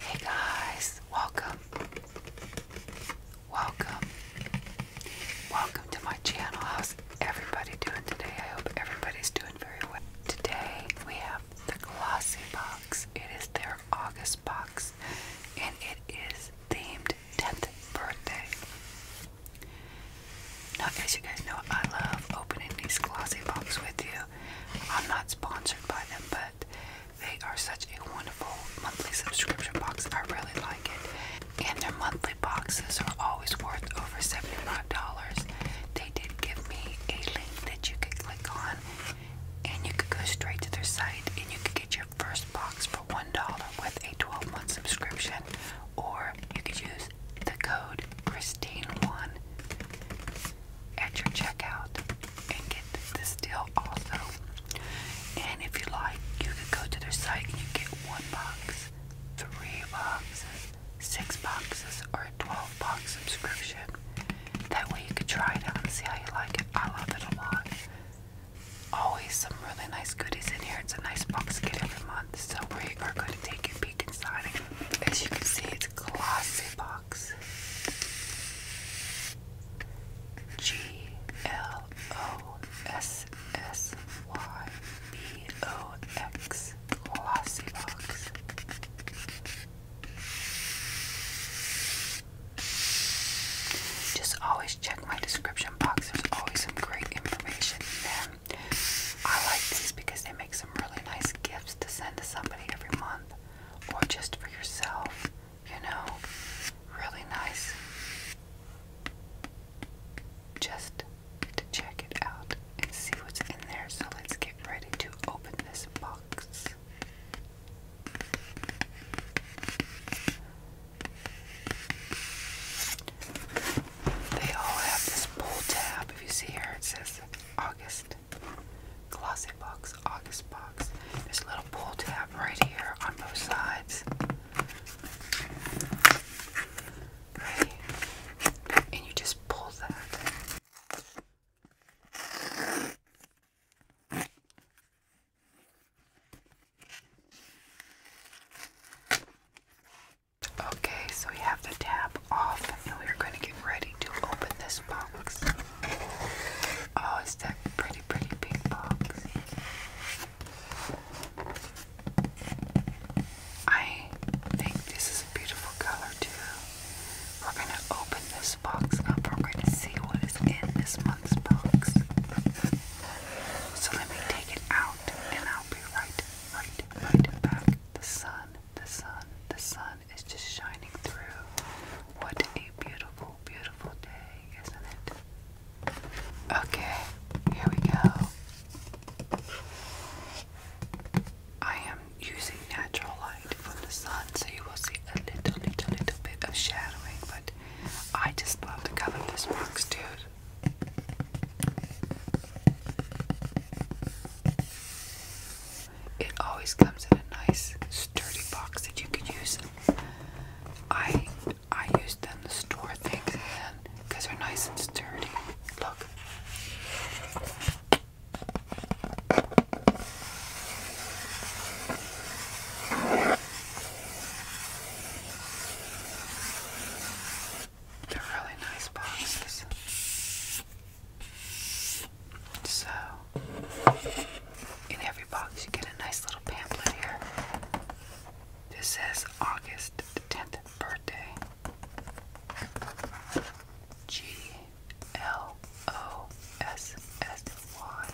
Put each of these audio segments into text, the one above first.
Hey guys, welcome. Welcome. Welcome to my channel. How's everybody doing today? I hope everybody's doing very well. Today we have the Glossy Box. It is their August box and it is themed 10th birthday. Now, as you guys know, I love opening these glossy boxes with you. I'm not sponsored by them, but they are such a wonderful monthly subscription box. I really like it. And their monthly boxes are always worth over $75. They did give me a link that you could click on, and you could go straight to their site and you could get your first box for $1 with a 12 month subscription, or you could use the code Christine1 at your checkout and get this deal also. And if you like, you could go to their site and you get one box, three boxes, six boxes, or a 12 box subscription. That way you could try it out and see how you like it. I love it a lot always some really nice goodies in here. It's a nice box kit every month, so we are going to take a peek inside. As you can see, it's a glossy box. G L O S S Y B O X glossy box. Just always check my description box. There's always some great information in there. I like these because they make some really nice gifts to send to somebody every month or just for yourself, you know. Really nice. Just to check it out and see what's in there. So let's get ready to open this box. They all have this pull tab. If you see here, it says August Closet Box, August Box. There's a little pull tab right here on both sides. Right? And you just pull that. Okay, so we have the tab off and we're going to get ready to open this box. Oh, it's that pretty, pretty pink box. I think this is a beautiful color too. We're going to open this box up. We're going to see what is in this month's box. So let me take it out and I'll be right, right, right back. The sun, the sun, the sun is just shining through. What a beautiful, beautiful day, isn't it? Okay, here we go. I am using natural light from the sun, so you will see a little, little, little bit of shadowing, but I just love the color of this box, dude. It always comes in a nice sturdy box that you can use. I I use them to store things in because they're nice and sturdy. Look. They're really nice boxes. So, in every box, you get a nice little pamphlet here. This says August 10th birthday. G L O S S Y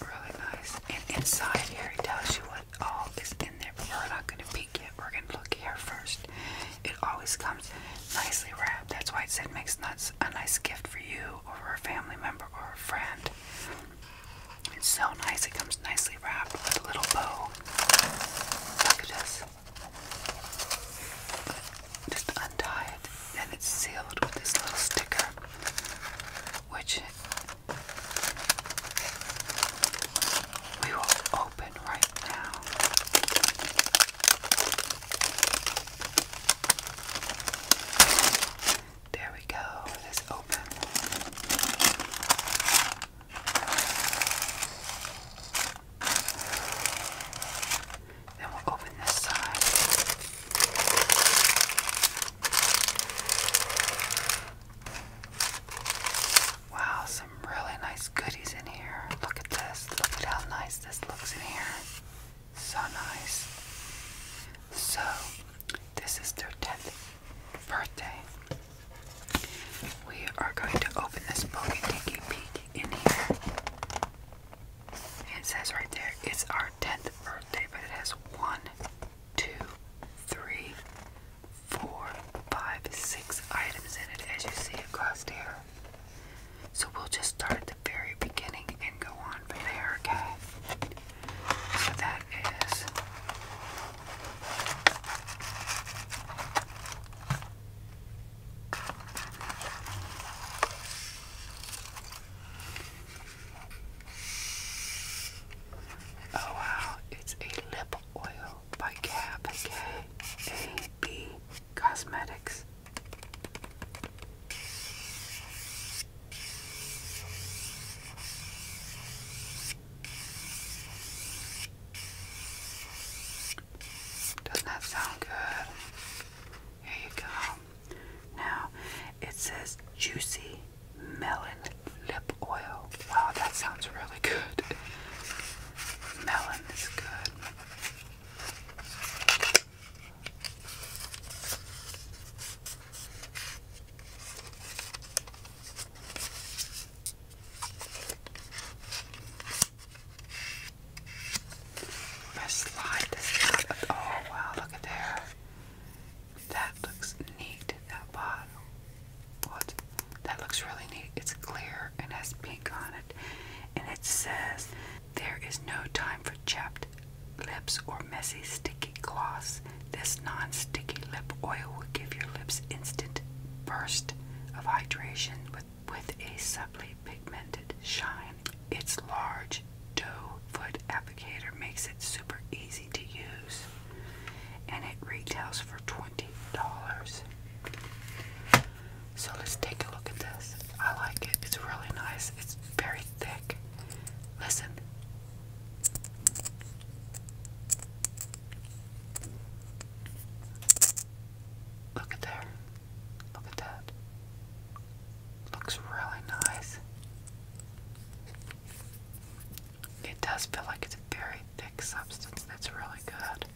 really nice. And inside here, it tells you what all is in there, we're not going to peek yet. We're going to look here first. It always comes nicely wrapped. That's why it said makes nuts a nice gift for you or a family member or a friend. It's so nice. It comes nicely wrapped with a little bow. Look at this. Just untie it, and it's sealed with this little sticker which we will open right now. There we go. Let's open. Then we'll open this side. Wow, some really nice goodies in here. Look at this. Look at how nice this looks in here. So nice. So, this is their 10th birthday. We are going to open this book and take a peek in here. It says right there, it's our 10th birthday, but it has one, two, three, four, five, six items in it as you see across here. So we'll just start at the very beginning and go on from there, okay? So that is Oh wow, it's a lip oil by Gab Cosmetics. Doesn't that sound good? Here you go. Now it says juicy melon lip oil. Wow, that sounds really good. Melon is good. Best slide this out. Oh wow, look at there. That looks neat, that bottle. What? That looks really neat. It's clear and has pink on it. And it says, There is no time for chapped lips or messy sticky gloss. This non sticky lip oil will give your lips instant burst of hydration with, with a subtly pigmented shine. Its large doe foot applicator makes it super easy to use, and it retails for $20. So let's take a look at this. I like it, it's really nice, it's very thick. Listen. Look at there. Look at that. Looks really nice. It does feel like it's a very thick substance. That's really good.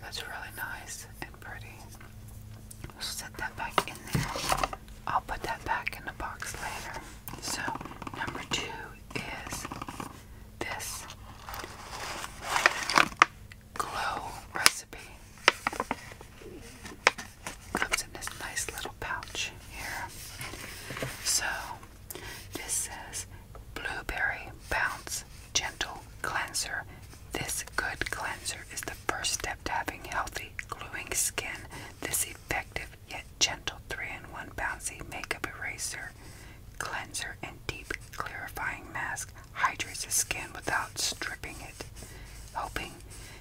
That's really nice and pretty. We'll set that back in there. I'll put that back in the box later. So, number two is this glow recipe comes in this nice little pouch here. So, this says Blueberry Bounce Gentle Cleanser. This good cleanser is the first step to having healthy, glowing skin. This effective yet gentle 3 in 1 bouncy makeup eraser, cleanser, and deep clarifying mask hydrates the skin without stripping it hoping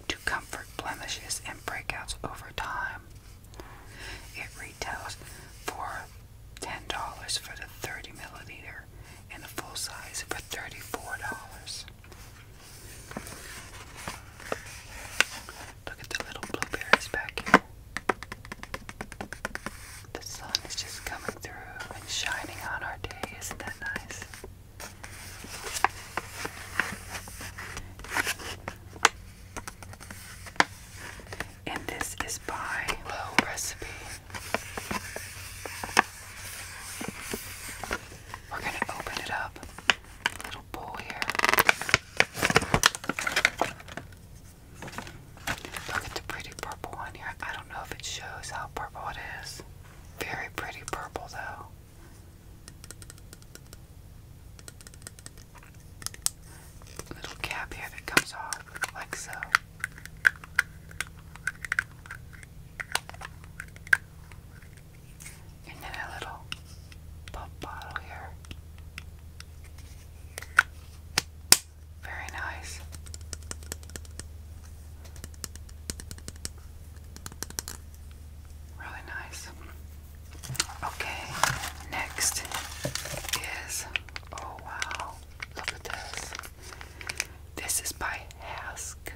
to comfort blemishes and breakouts over time. It retails for $10 for the 30 milliliter and a full size for $34. Look at the little blueberries back here. The sun is just coming through and shining on our day. Isn't that nice? And this is by Low Recipe. We're going to open it up. A little bowl here. Look at the pretty purple one here. I don't know if it shows how purple it is. Very pretty purple, though little cap here that comes off, like so. And then a little pump bottle here. Very nice. Really nice. Okay, next is oh wow, look at this. This is by Hask.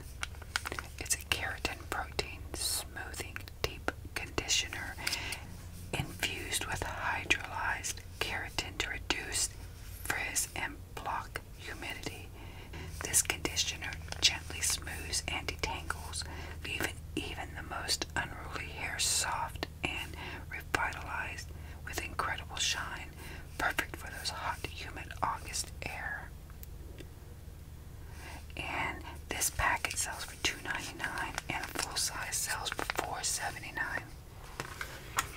It's a keratin protein smoothing deep conditioner infused with hydrolyzed keratin to reduce frizz and block humidity. This conditioner gently smooths and detangles, leaving even the most unruly hair soft and revitalized with incredible shine, perfect for those hot, humid August air. And this packet sells for $2.99 and a full size sells for $4.79.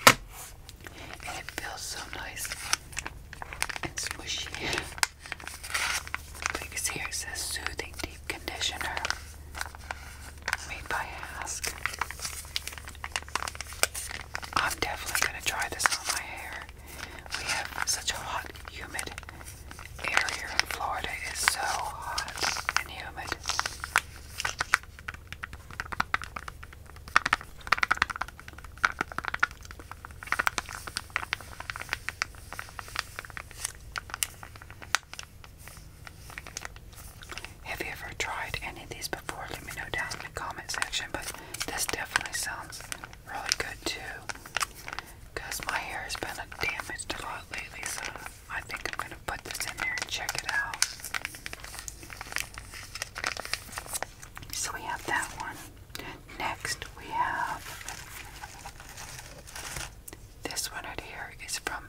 And it feels so nice and smushy. Because it says soothing deep conditioner made by Ask. I'm definitely gonna try this on my hair. We have such a hot, humid air here in Florida. It's so hot and humid. Have you ever tried any of these before? Let me know down in the comment section. this definitely sounds really good too. Because my hair has been damaged a lot lately, so I think I'm going to put this in there and check it out. So we have that one. Next, we have this one right here is from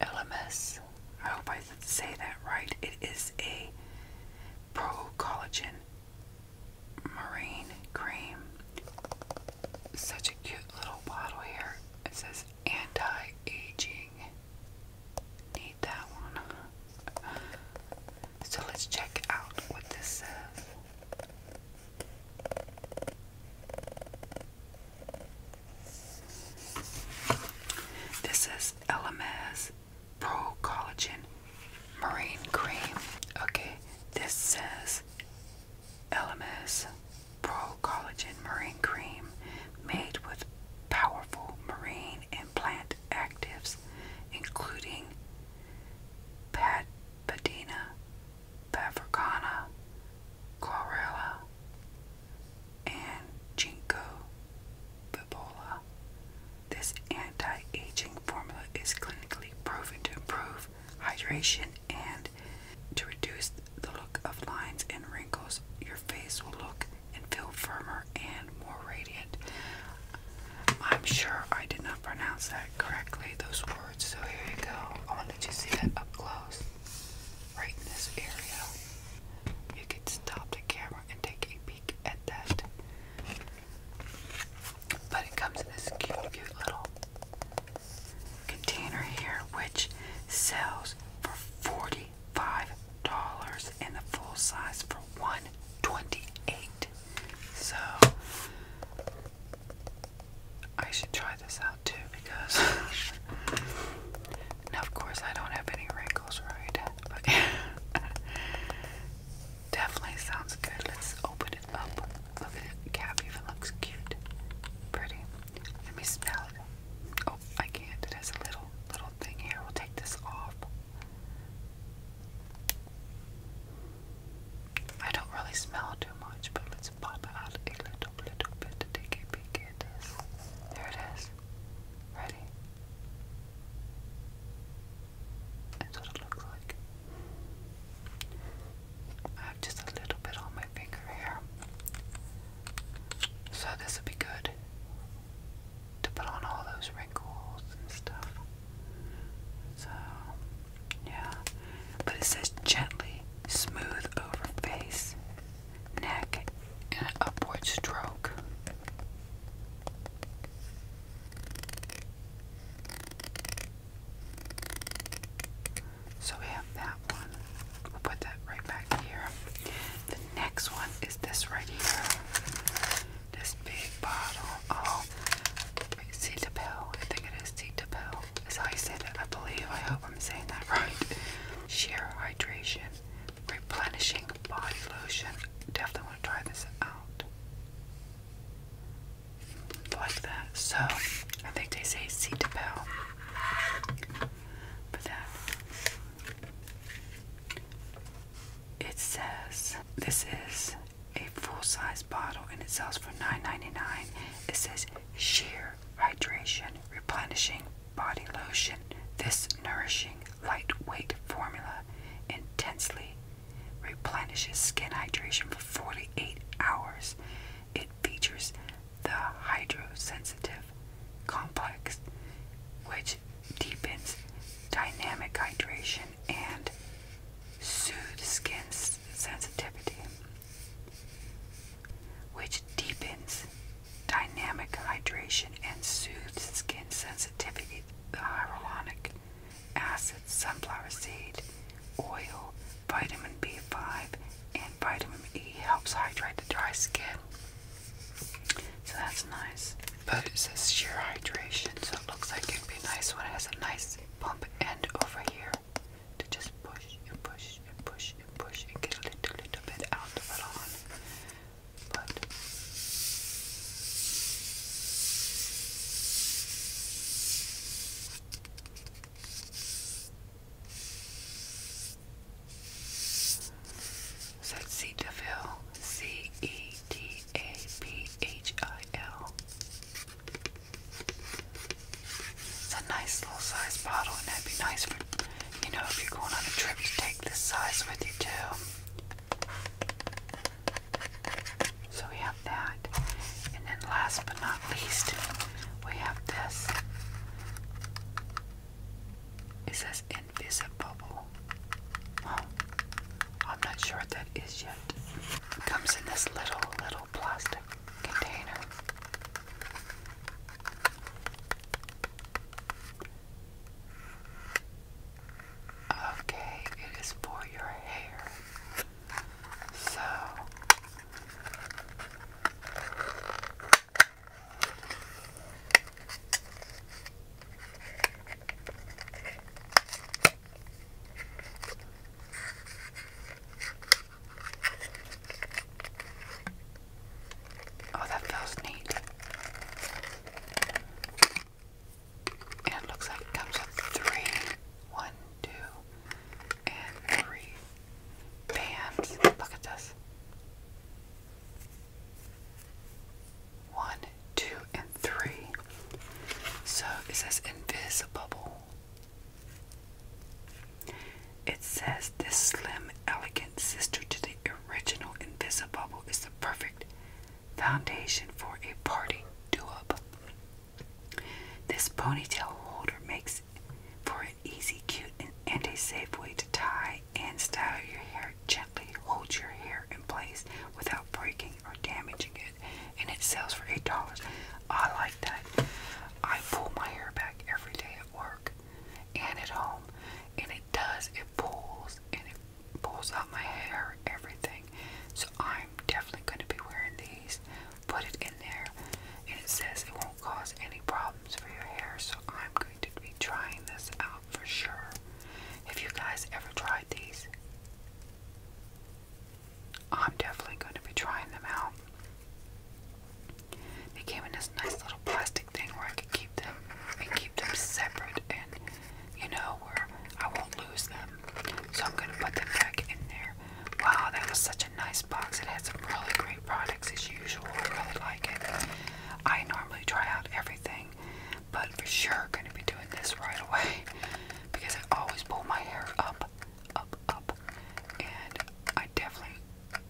Elemis. I hope I say that right. It is a pro collagen marine cream. Such a cute little bottle here. It says anti aging. Need that one. So let's check out what this says. Uh, this is LMS Pro Collagen Marine Cream. Okay, this says LMS Pro Collagen Marine Cream made with powerful marine and plant actives including Pat Padina, Pavricana, Chlorella, and Ginkgo biloba. This anti-aging formula is clinically proven to improve hydration and to reduce the look of lines and wrinkles. Your face will look and feel firmer and more radiant. I'm sure I did not pronounce that correctly, those words. So here you go. I want to you see that up close, right in this area. You can stop the camera and take a peek at that. But it comes in this cute, cute little container here, which sells for $45 dollars and the full size for one twenty-eight. So I should try this out too because now of course I don't have any wrinkles right but definitely sounds good. Let's open it up. Look at it. Cap even looks cute. Pretty. Let me smell it. Oh, I can't. It has a little little thing here. We'll take this off. I don't really smell too much, but let's pop out a little, little bit to take a peek at this. There it is. Ready? That's what it looks like. I have just a little bit on my finger here. So this will be good to put on all those wrinkles and stuff. So, yeah. But it says gently smooth over face, neck, and upward stroke. So we have that one. We'll put that right back here. The next one is this right here this big bottle of Cetaphil. I think it is Cetaphil. That's how you say that, I believe. I hope I'm saying that right. Sheer hydration, replenishing body lotion. Definitely want to try this out. Like that. So I think they say Cetaphil. But that. It says this is a full-size bottle and it sells for $9.99. It says sheer hydration, replenishing body lotion. This nourishing, lightweight formula intensely replenishes skin hydration for 48 hours. It features the hydrosensitive complex, which deepens dynamic hydration and soothes skin sensitivity. Which deepens dynamic hydration and soothes skin sensitivity. The hyaluronic acid, sunflower seed, oil, vitamin B5, and vitamin E helps hydrate the dry skin. So that's nice but it says sheer hydration, so it looks like it'd be nice when it has a nice pump end over here to just push and push and push and push and get a little, little bit out of it on. But so C E D a P H I L. It's a nice little size bottle, and that'd be nice for, you know, if you're going on a trip to take this size with you too. So we have that. And then last but not least, we have this. It says invisible. Huh. I'm not sure what that is yet. comes in this little, little plastic container. Okay, it is for your hair. So Oh, that feels neat. And it looks like comes with three. and three bands. Look at this. One, two, and three. So it says invisible. It says this slim, elegant sister to the original Invisibubble is the perfect foundation for a party do-up. This ponytail holder makes for an easy, cute, and, and a safe way to tie and style your hair. Gently hold your hair in place without breaking or damaging it, and it sells for eight dollars. I like that. I pull my hair back every day at work and at home, and it does. It pulls and it pulls out my hair, everything. So I'm definitely going to be wearing these. Put it in there, and it says it won't cause any problems for your hair. So I'm going to be trying this out for sure. Have you guys ever tried these? I'm definitely going to be trying them out. They came in this nice little plastic thing where I could keep them and keep them separate and, you know, where I won't lose them. So I'm going to put them back in there. Wow, that was such a nice box. It had some really great products as usual. I really like it. I normally try out everything but for sure gonna be doing this right away because I always pull my hair up, up, up, and I definitely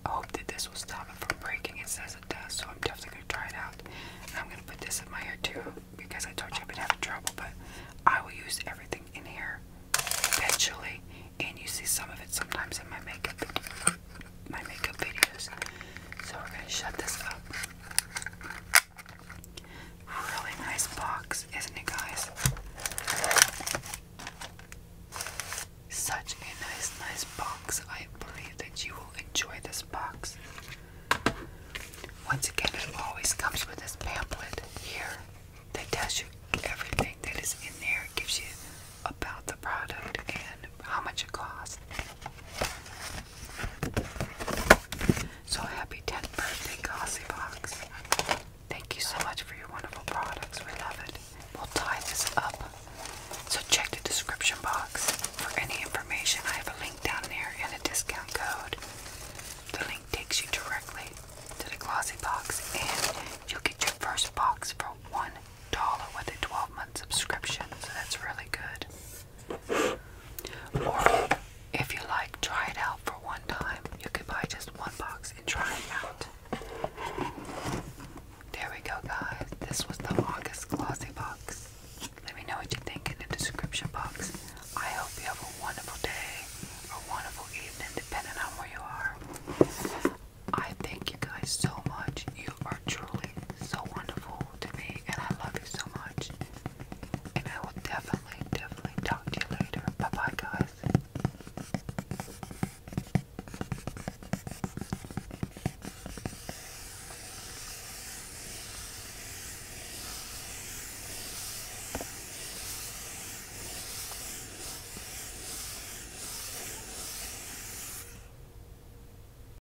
hope that this will stop it from breaking. It says it does, so I'm definitely gonna try it out. And I'm gonna put this in my hair too because I told you I've been having trouble, but I will use everything in here eventually, and you see some of it sometimes in my makeup, my makeup videos. So we're gonna shut this up. Really nice box, isn't it, guys? Such a nice, nice box. I believe that you will enjoy this box. Once again, it always comes with this pamphlet here that tells you everything that is in there, gives you about the product and how much it costs. So happy 10th birthday, Glossy Thank you so much for your wonderful products. We love it. We'll tie this up. So check the description box for any information. I have a link down there and a discount code. The link takes you directly to the glossy and you'll get your first box for one dollar with a 12 month subscription. So that's really good if you like, try it out for one time. You could buy just one box and try it out. There we go, guys. This was the August Glossy Box. Let me know what you think in the description box. I hope you have a wonderful day or wonderful evening, depending on where you are. I thank you guys so much. You are truly so wonderful to me, and I love you so much. And I will definitely, definitely talk to you later. Bye bye, guys.